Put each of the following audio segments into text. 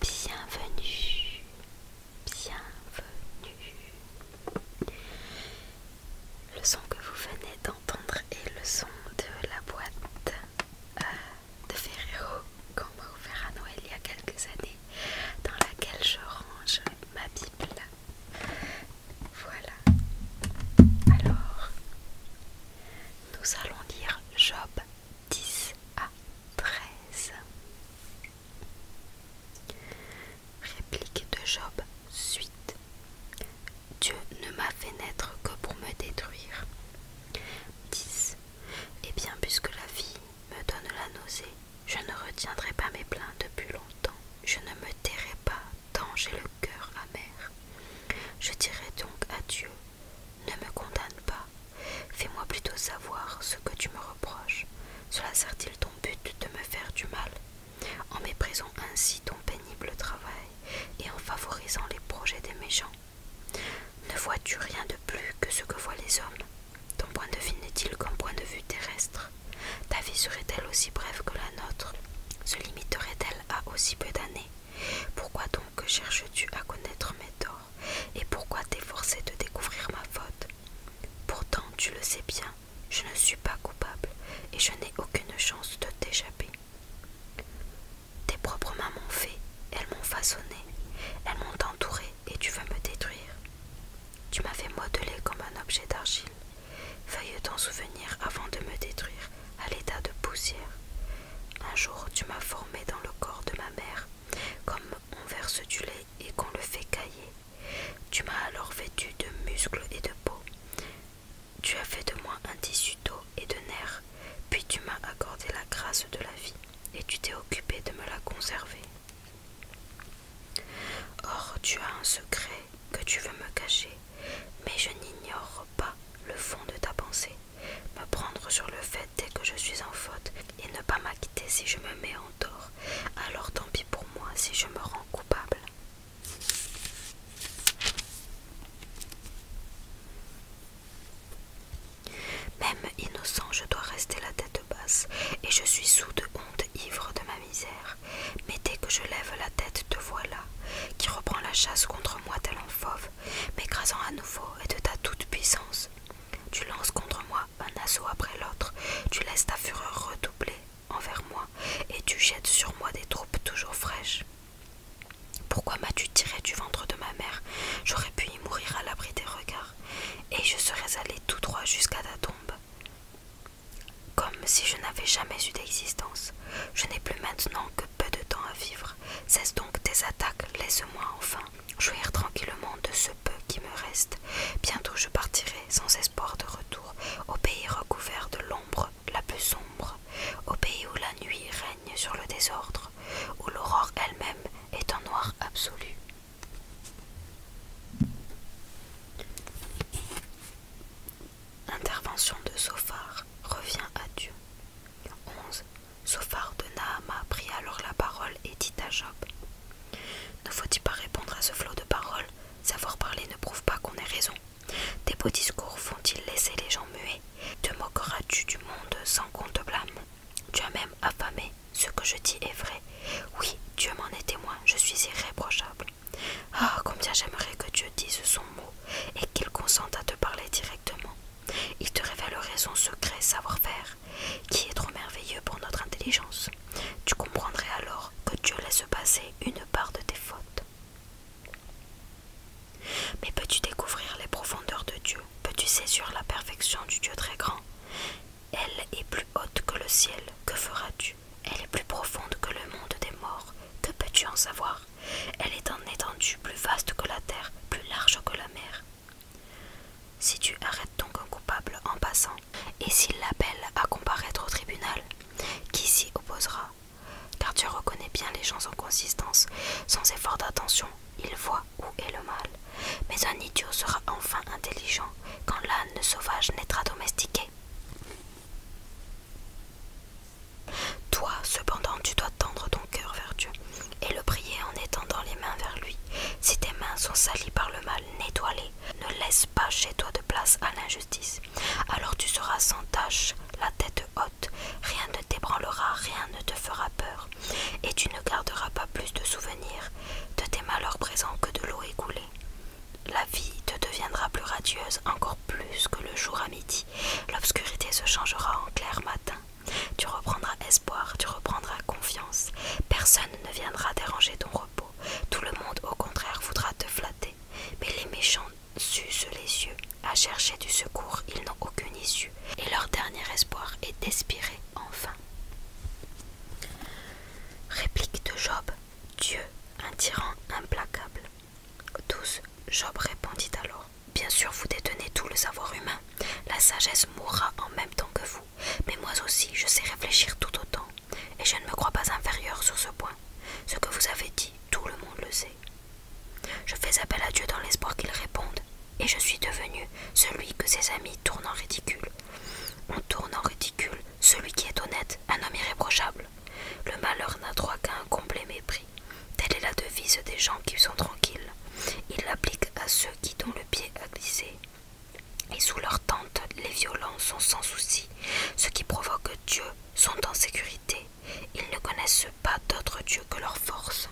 Bienvenue, bienvenue. Le son que vous venez d'entendre est le son de la boîte euh, de Ferrero qu'on m'a ouvert à Noël il y a quelques années, dans laquelle je range ma bibliothèque voilà. Alors, nous allons lire Job 10 à 13. Réplique de Job 8 Dieu ne m'a fait naître que pour me détruire. 10. Eh bien, puisque la vie me donne la nausée. Je ne retiendrai pas mes plaintes depuis longtemps. Je ne me tairai pas tant j'ai le cœur amer. Je dirai donc à Dieu Ne me condamne pas. Fais-moi plutôt savoir ce que tu me reproches. Cela sert-il ton but de me faire du mal En méprisant ainsi ton pénible travail et en favorisant les projets des méchants. Ne vois-tu rien de plus que ce que voient les hommes ton point de vue n'est-il qu'un point de vue terrestre Ta vie serait-elle aussi brève que la nôtre Se limiterait-elle à aussi peu d'années Pourquoi donc cherches-tu à connaître mes torts Et pourquoi t'efforcer de découvrir ma faute Pourtant, tu le sais bien, je ne suis pas coupable et je n'ai aucune chance de t'échapper. Tes propres mains m'ont fait, elles m'ont façonné, elles m'ont entouré, et tu vas me détruire. Tu m'as fait modeler comme un objet d'argile, veuille t'en souvenir avant de me détruire à l'état de poussière. Un jour, tu m'as formé dans le corps de ma mère, comme on verse du lait et qu'on le fait cailler. Tu m'as alors vêtu de muscles et de peau. Tu as fait de moi un tissu d'eau et de nerfs, puis tu m'as accordé la grâce de la vie, et tu t'es occupé de me la conserver. Or tu as un secret que tu veux me cacher, mais je n'ignore pas le fond de ta pensée, me prendre sur le fait dès que je suis en faute et ne pas m'acquitter si je me mets en tort, alors tant pis pour moi si je me rends coupable. Même innocent, je dois rester la tête et je suis sous de honte ivre de ma misère. Mais dès que je lève la tête, te voilà, qui reprend la chasse contre moi tel un fauve, m'écrasant à nouveau et de ta toute puissance. Tu lances contre moi un assaut après l'autre, tu laisses ta fureur redoubler envers moi, et tu jettes sur moi des troupes toujours fraîches. Pourquoi m'as-tu tiré du ventre de ma mère J'aurais pu y mourir à l'abri des regards et je serais allé tout droit jusqu'à ta tombe. Comme si je n'avais jamais eu d'existence. Je n'ai plus maintenant que peu de temps à vivre. Cesse donc tes attaques, laisse-moi enfin jouir tranquillement de ce peu qui me reste. Bientôt je partirai sans espoir de retour au pays recouvert de l'ombre la plus sombre, au pays où la nuit règne sur le désordre, où l'aurore elle-même est en noir absolu. Intervention de Sophar revient à Dieu. 11. Sophar de Naama prit alors la parole et dit à Job Ne faut-il pas répondre à ce flot de paroles Savoir parler ne prouve pas qu'on ait raison. Tes beaux discours font-ils laisser les gens muets Te moqueras-tu du monde sans qu'on te blâme Tu as même affamé ce que je dis est vrai. Oui, Dieu m'en est témoin, je suis irréprochable. Ah, combien j'aimerais que Dieu dise son mot et qu'il consente à te parler directement. Il te révélerait son secret savoir-faire, qui est trop merveilleux pour notre intelligence. Tu comprendrais alors que Dieu laisse passer une part de tes fautes. Mais peux-tu découvrir les profondeurs de Dieu Peux-tu saisir la perfection du Dieu très grand elle est plus haute que le ciel, que feras-tu Elle est plus profonde que le monde des morts, que peux-tu en savoir Elle est en étendue plus vaste que la terre, plus large que la mer. Si tu arrêtes donc un coupable en passant, et s'il l'appelle à comparaître au tribunal, qui s'y opposera Car tu reconnais bien les gens en consistance, sans effort d'attention, ils voient où est le mal. Mais un idiot sera enfin intelligent quand l'âne sauvage naîtra domestiqué. Toi, cependant, tu dois tendre ton cœur vers Dieu et le prier en étendant les mains vers lui. Si tes mains sont salies par le mal, nettoie-les. Ne laisse pas chez toi de place à l'injustice. Alors tu seras sans tâche, la tête haute. Rien ne t'ébranlera, rien ne te fera peur et tu ne garderas pas plus de souvenirs de tes malheurs présents que de l'eau écoulée. La vie te deviendra plus radieuse, encore plus que le jour à midi. L'obscurité se changera en clair matin. Tu reprendras espoir, tu reprendras confiance. Personne ne viendra déranger ton repos. Tout le monde, au contraire, voudra te flatter. Mais les méchants s'usent les yeux. À chercher du secours, ils n'ont aucune issue. Et leur dernier espoir est d'espirer enfin. Réplique de Job, Dieu, un tyran implacable. tous Job répondit alors, Bien sûr vous détenez tout le savoir humain, la sagesse mourra en même temps que vous, mais moi aussi je sais réfléchir tout autant, et je ne me crois pas inférieur sur ce point. Ce que vous avez dit, tout le monde le sait. Je fais appel à Dieu dans l'espoir qu'il réponde, et je suis devenu celui que ses amis tournent en ridicule. On tourne en ridicule celui qui est honnête, un homme irréprochable. Le malheur n'a droit qu'à un complet mépris. Telle est la devise des gens qui sont tranquilles. Ils l'appliquent à ceux qui dont le pied à glisser Et sous leur tente, les violents sont sans souci. Ceux qui provoquent Dieu sont en sécurité. Ils ne connaissent pas d'autre Dieu que leur force.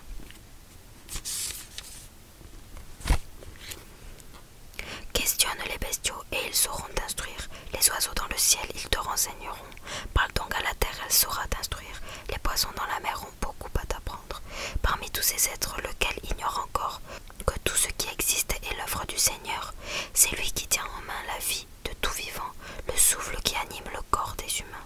Questionne les bestiaux et ils sauront t'instruire. Les oiseaux dans le ciel, ils te renseigneront. Parle donc à la terre, elle saura t'instruire. Les poissons dans la mer ont beaucoup à t'apprendre. Parmi tous ces êtres, lequel ignore encore que tout ce qui existe est l'œuvre du Seigneur. C'est lui qui tient en main la vie de tout vivant, le souffle qui anime le corps des humains.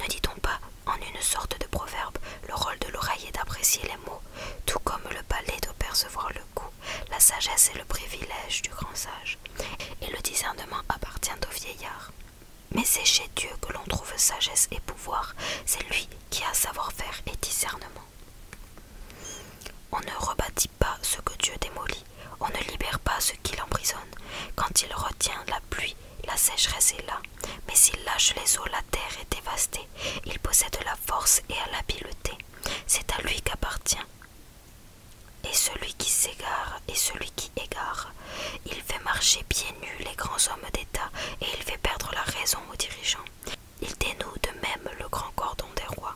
Ne dit-on pas, en une sorte de proverbe, le rôle de l'oreille est d'apprécier les mots, tout comme le palais de percevoir le goût, la sagesse est le privilège du grand sage, et le discernement appartient au vieillard. Mais c'est chez Dieu que l'on trouve sagesse et pouvoir, c'est lui qui a savoir-faire et discernement. On ne rebâtit pas ce que Dieu démolit, on ne libère pas ce qu'il emprisonne. Quand il retient la pluie, la sécheresse est là. Mais s'il lâche les eaux, la terre est dévastée. Il possède la force et à l'habileté. C'est à lui qu'appartient. Et celui qui s'égare est celui qui égare. Il fait marcher pieds nus les grands hommes d'État et il fait perdre la raison aux dirigeants. Il dénoue de même le grand cordon des rois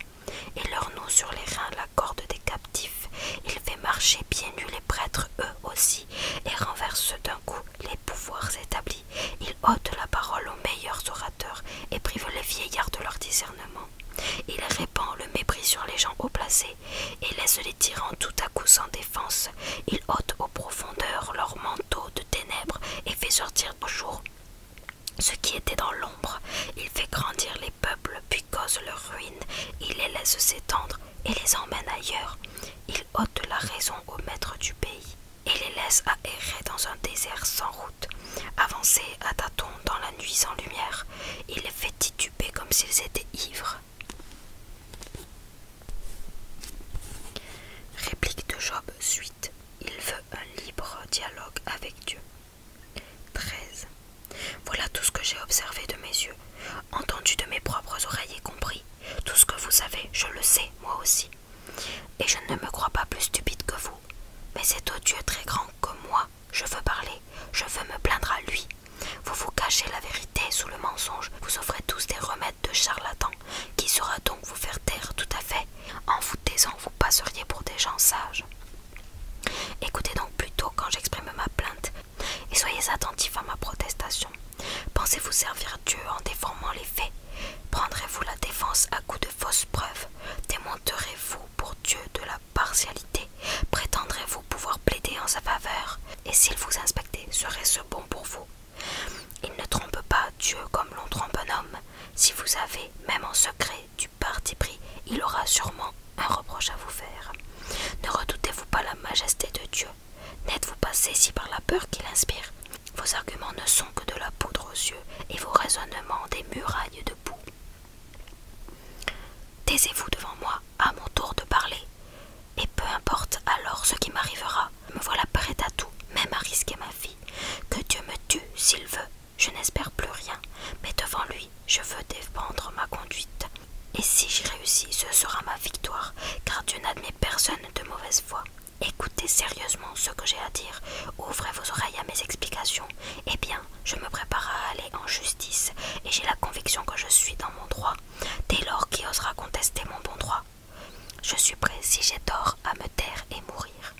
et leur noue sur les reins la corde des captifs. Il fait marcher pieds nus les prêtres eux aussi et renverse d'un coup les pouvoirs établis. Il ôte la parole aux meilleurs orateurs et prive les vieillards de leur discernement. Il répand le mépris sur les gens haut placés et laisse les tyrans tout à coup sans défense. Il ôte aux profondeurs leur manteau de ténèbres et fait sortir au jour ce qui était dans l'ombre. Il fait grandir les peuples puis cause leur ruine. Il les laisse s'étendre et les emmène ailleurs. Il ôte la raison au maître du pays et les laisse errer dans un désert sans route, avancer à tâtons dans la nuit sans lumière. Il les fait tituber comme s'ils étaient ivres. Réplique de Job suite. Il veut un libre dialogue avec Dieu. 13. Voilà tout ce que j'ai observé de mes yeux entendu de mes propres oreilles et compris. Tout ce que vous savez, je le sais, moi aussi. Et je ne me crois pas plus stupide que vous. Mais c'est au Dieu très grand que moi, je veux parler, je veux me plaindre à lui. Vous vous cachez la vérité sous le mensonge, vous offrez tous des remèdes de charlatan Qui saura donc vous faire taire tout à fait En vous taisant, vous passeriez pour des gens sages. Écoutez donc plutôt quand j'exprime ma plainte, et soyez attentifs à ma protestation. Pensez-vous servir Dieu en déformant les faits Prendrez-vous la défense à coup de fausses preuves Démonterez-vous pour Dieu de la partialité Prétendrez-vous pouvoir plaider en sa faveur Et s'il vous inspectait, serait-ce bon pour vous Il ne trompe pas Dieu comme l'on trompe un homme. Si vous avez, même en secret, du parti pris, il aura sûrement un reproche à vous faire. Ne redoutez-vous pas la majesté de Dieu N'êtes-vous pas saisi par la peur qu'il inspire Vos arguments ne sont que de la poudre aux yeux et vos raisonnements des murailles de boue. Taisez-vous devant moi, à mon tour de parler. Et peu importe alors ce qui m'arrivera, me voilà prête à tout, même à risquer ma vie. Que Dieu me tue s'il veut, je n'espère plus rien, mais devant lui, je veux défendre ma conduite. Et si j'y réussis, ce sera ma victoire, car Dieu n'admet personne de mauvaise foi. Écoutez sérieusement ce que j'ai à dire, ouvrez vos oreilles à mes explications. Eh bien, je me prépare à aller en justice, et j'ai la conviction que je suis dans mon droit, dès lors qui osera contester mon bon droit. Je suis prêt, si j'ai tort, à me taire et mourir.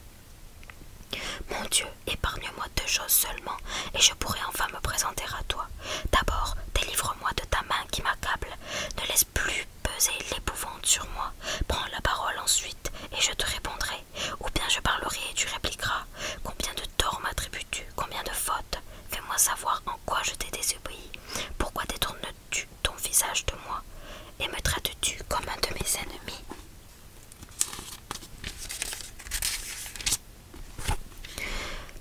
Mon Dieu, épargne-moi deux choses seulement, et je pourrai enfin me présenter à toi D'abord, délivre-moi de ta main qui m'accable. Ne laisse plus peser l'épouvante sur moi. Prends la parole ensuite, et je te répondrai. Ou bien je parlerai et tu répliqueras. Combien de torts m'attribues-tu Combien de fautes Fais-moi savoir en quoi je t'ai désobéi. Pourquoi détournes-tu ton visage de moi Et me traites-tu comme un de mes ennemis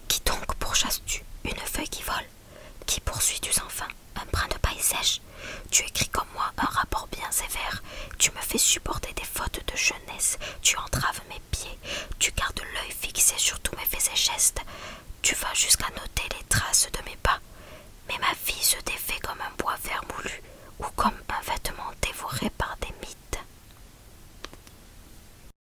qui donc pourchasses-tu une feuille qui vole Qui poursuis-tu sans un brin de paille sèche Tu écris comme moi un rapport bien sévère. Tu me fais supporter des fautes de jeunesse. Tu entraves mes pieds. Tu gardes l'œil fixé sur tous mes faits et gestes. Tu vas jusqu'à noter les traces de mes pas. Mais ma vie se défait comme un bois vert ou comme un vêtement dévoré par des mythes.